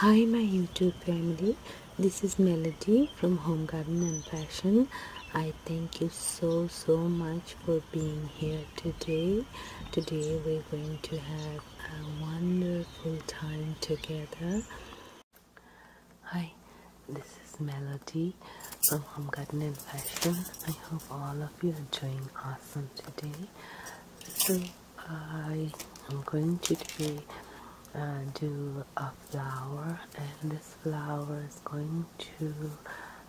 Hi my YouTube family, this is Melody from Home Garden and Fashion. I thank you so so much for being here today. Today we're going to have a wonderful time together. Hi, this is Melody from Home Garden and Fashion. I hope all of you are doing awesome today. So I am going to uh, do a flower and this flower is going to be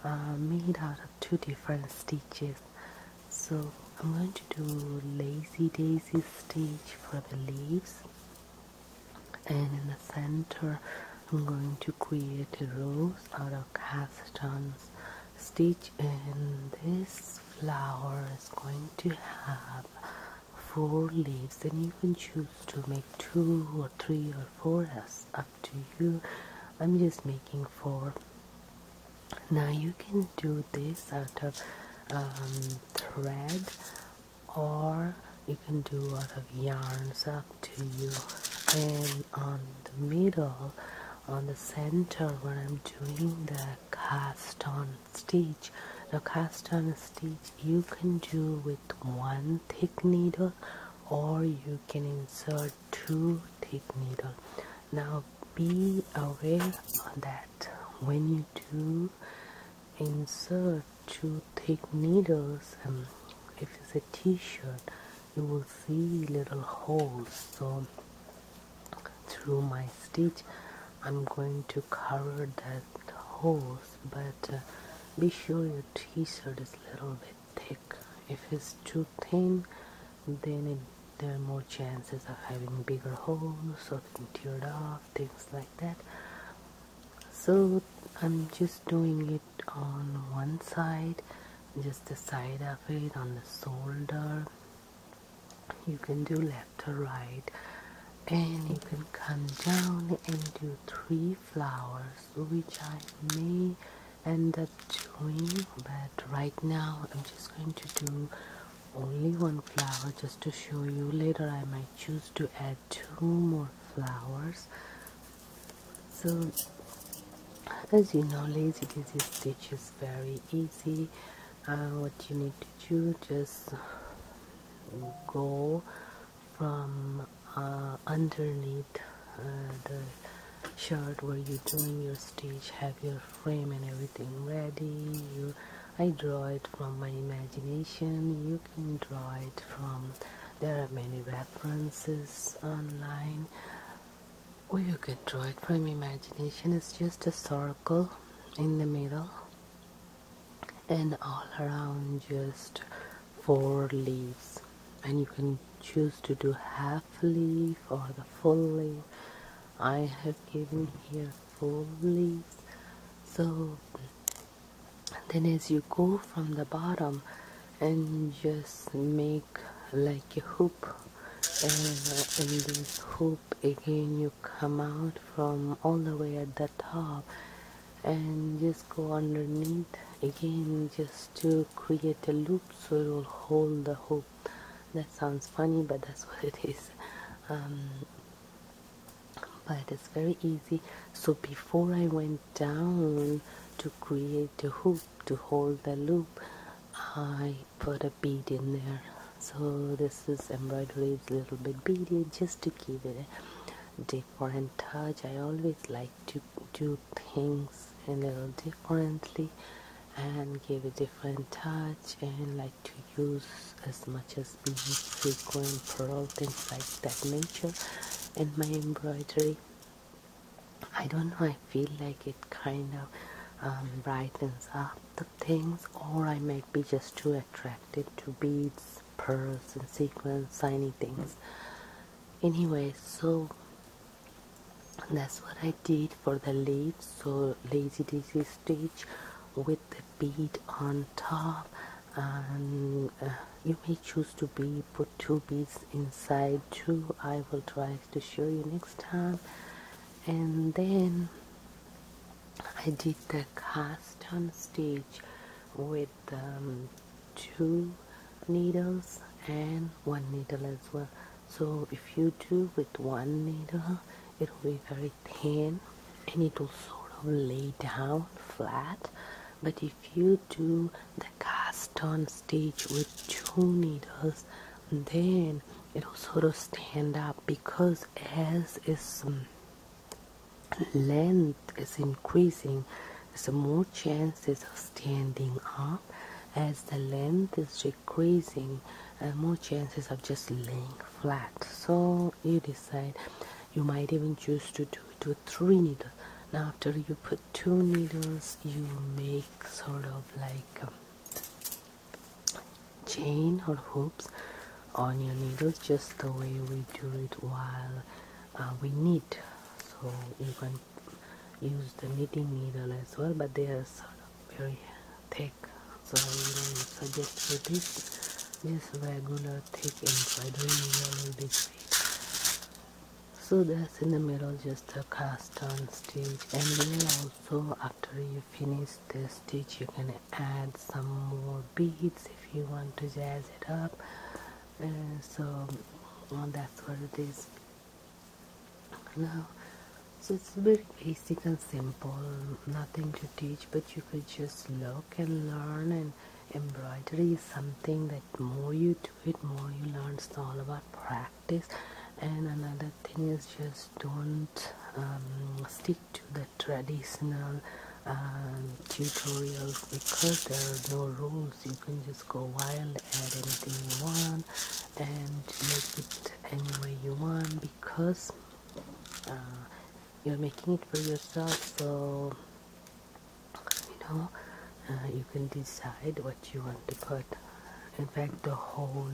uh, made out of two different stitches so I'm going to do lazy daisy stitch for the leaves and in the center I'm going to create a rose out of cast ons stitch and this flower is going to have four leaves and you can choose to make two or three or four as up to you I'm just making four now you can do this out of um, thread or you can do out of yarns up to you and on the middle on the center when I'm doing that cast on stitch The cast on stitch you can do with one thick needle or you can insert two thick needle now be aware that when you do insert two thick needles um, if it's a t-shirt you will see little holes so through my stitch I'm going to cover that holes but uh, be sure your t-shirt is little bit thick if it's too thin then there are more chances of having bigger holes or teared off things like that so I'm just doing it on one side just the side of it on the shoulder you can do left to right and you can come down and do three flowers which I may end up doing but right now I'm just going to do only one flower just to show you later I might choose to add two more flowers so as you know lazy daisy stitches very easy uh, what you need to do just go from uh, underneath uh, the chart where you're doing your stitch have your frame and everything ready I draw it from my imagination you can draw it from there are many references online or you can draw it from imagination it's just a circle in the middle and all around just four leaves and you can choose to do half leaf or the full leaf I have given here full leaves so then as you go from the bottom and just make like a hoop and in uh, this hoop again you come out from all the way at the top and just go underneath again just to create a loop so it will hold the hoop that sounds funny but that's what it is um, but it's very easy so before I went down to create the hoop to hold the loop I put a bead in there so this is embroidery little bit beaded just to give it a different touch i always like to do things a little differently and give a different touch and like to use as much as beads frequent pearl things like that nature in my embroidery I don't know, I feel like it kind of um, brightens up the things, or I might be just too attracted to beads, pearls, and sequins, shiny things. Anyway, so that's what I did for the leaves. So, lazy daisy stitch with the bead on top, uh, you may choose to be put two beads inside too. I will try to show you next time and then I did the cast on stitch with um, two needles and one needle as well so if you do with one needle it will be very thin and it will sort of lay down flat but if you do the cast on stitch with two needles then it'll sort of stand up because as its um, length is increasing there's more chances of standing up as the length is decreasing and uh, more chances of just laying flat so you decide you might even choose to do two three needles now after you put two needles you make sort of like um, chain or hoops on your needles just the way we do it while uh, we knit so you can use the knitting needle as well but they are sort of very thick so you don't suggest for this just regular thick embroidery needle will be great so that's in the middle just a cast on stitch and then also after you finish this stitch you can add some more beads if you want to jazz it up uh, so that's what it is now so it's very basic and simple nothing to teach but you could just look and learn and embroidery is something that more you do it more you learn it's all about practice practice and another thing is just don't um, stick to the traditional um, tutorials because there are no rules you can just go wild add anything you want and make it any way you want because uh, you're making it for yourself so you know uh, you can decide what you want to put in fact the whole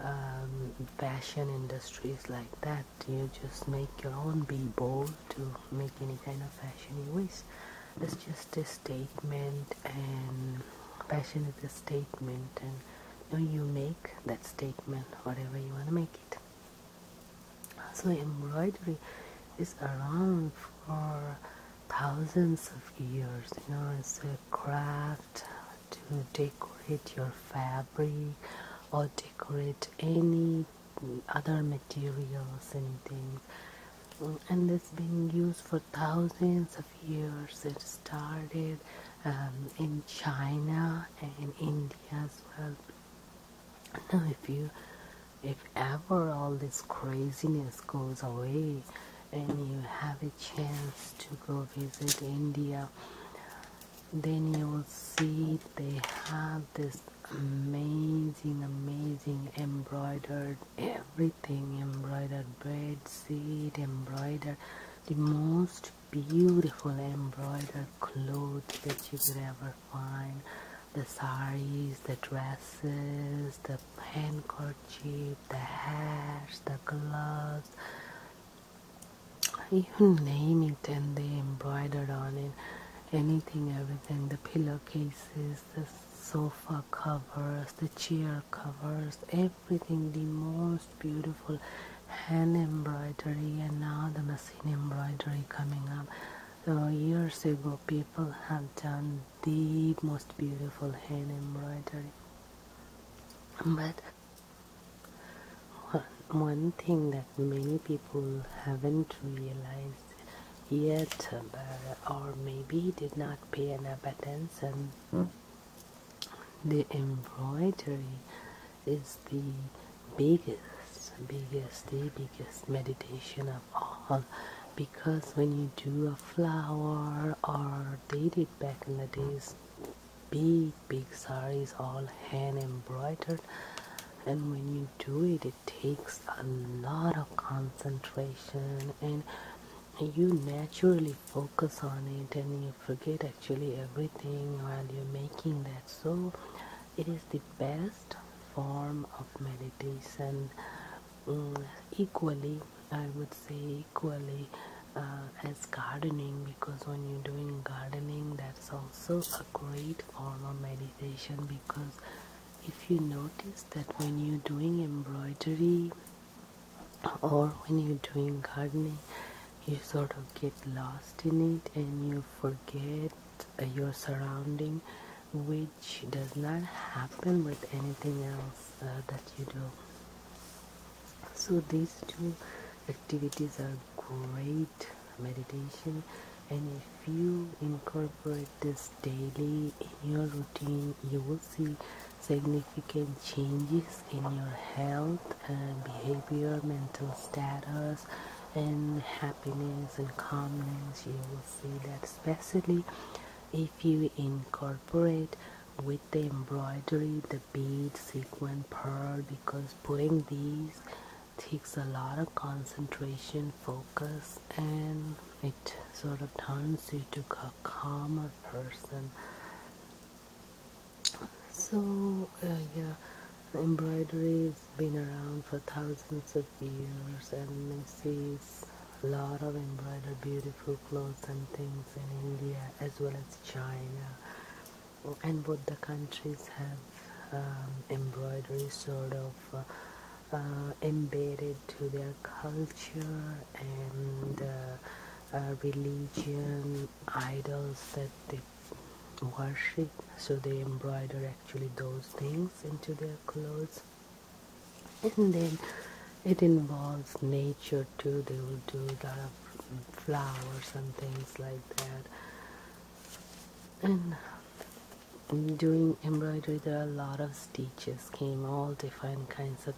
um, fashion industry is like that you just make your own be bold to make any kind of fashion you it's just a statement and fashion is a statement and you, you make that statement whatever you want to make it so embroidery is around for thousands of years you know it's a craft to decorate your fabric or decorate any other materials anything and it's been used for thousands of years it started um, in China and India as well now if you if ever all this craziness goes away and you have a chance to go visit India, then you will see they have this amazing, amazing embroidered everything embroidered bed seed, embroidered the most beautiful embroidered clothes that you could ever find the saris, the dresses, the hand the hats, the gloves, you name it, and they embroidered on it anything, everything the pillowcases, the sofa covers, the chair covers, everything the most beautiful hand embroidery, and now the machine embroidery coming up. So years ago, people had done the most beautiful hand embroidery but one thing that many people haven't realized yet or maybe did not pay enough attention hmm? the embroidery is the biggest biggest the biggest meditation because when you do a flower or did it back in the days big big saris all hand embroidered and when you do it it takes a lot of concentration and you naturally focus on it and you forget actually everything while you're making that so it is the best form of meditation Mm, equally i would say equally uh, as gardening because when you're doing gardening that's also a great form of meditation because if you notice that when you're doing embroidery or when you're doing gardening you sort of get lost in it and you forget your surrounding with which does not happen with anything else uh, that you do. So these two activities are great meditation and if you incorporate this daily in your routine you will see significant changes in your health and behavior mental status and happiness and calmness you will see that especially if you incorporate with the embroidery the bead sequin pearl because putting these takes a lot of concentration focus and it sort of turns you to a calmer person so uh, yeah embroidery has been around for thousands of of years and Macy's. A lot of embroidered beautiful clothes and things in India as well as China. Oh, and both the countries have um, embroidery sort of uh, uh, embedded to their culture and uh, religion, idols that they worship so they embroider actually those things into their clothes and then it involves nature too they will do that flowers and things like that and doing embroidery there are a lot of stitches came all different kinds of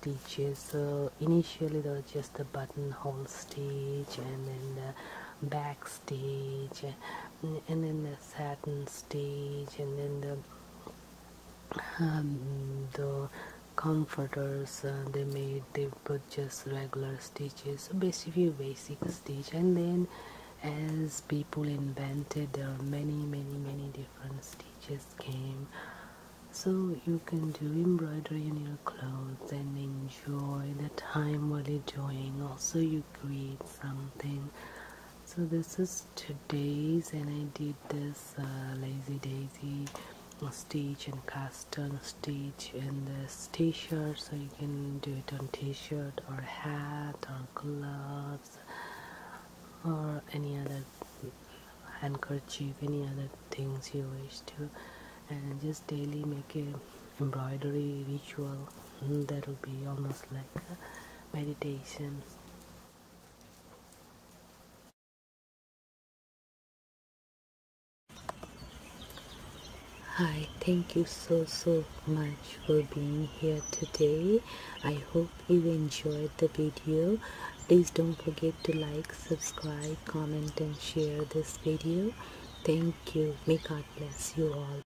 stitches so initially there was just the buttonhole stitch and then the back stage and, then the satin stage and then the um, the comforters uh, they made they put just regular stitches so basically basic stitch and then as people invented there are many many many different stitches came so you can do embroidery in your clothes and enjoy the time while you're doing also you create something so this is today's and I did this uh, lazy daisy stitch and cast on stitch in this t-shirt so you can do it on t-shirt or hat or gloves or any other handkerchief any other things you wish to and just daily make a embroidery ritual that'll be almost like meditation. Hi, thank you so so much for being here today. I hope you enjoyed the video. Please don't forget to like, subscribe, comment and share this video. Thank you. May God bless you all.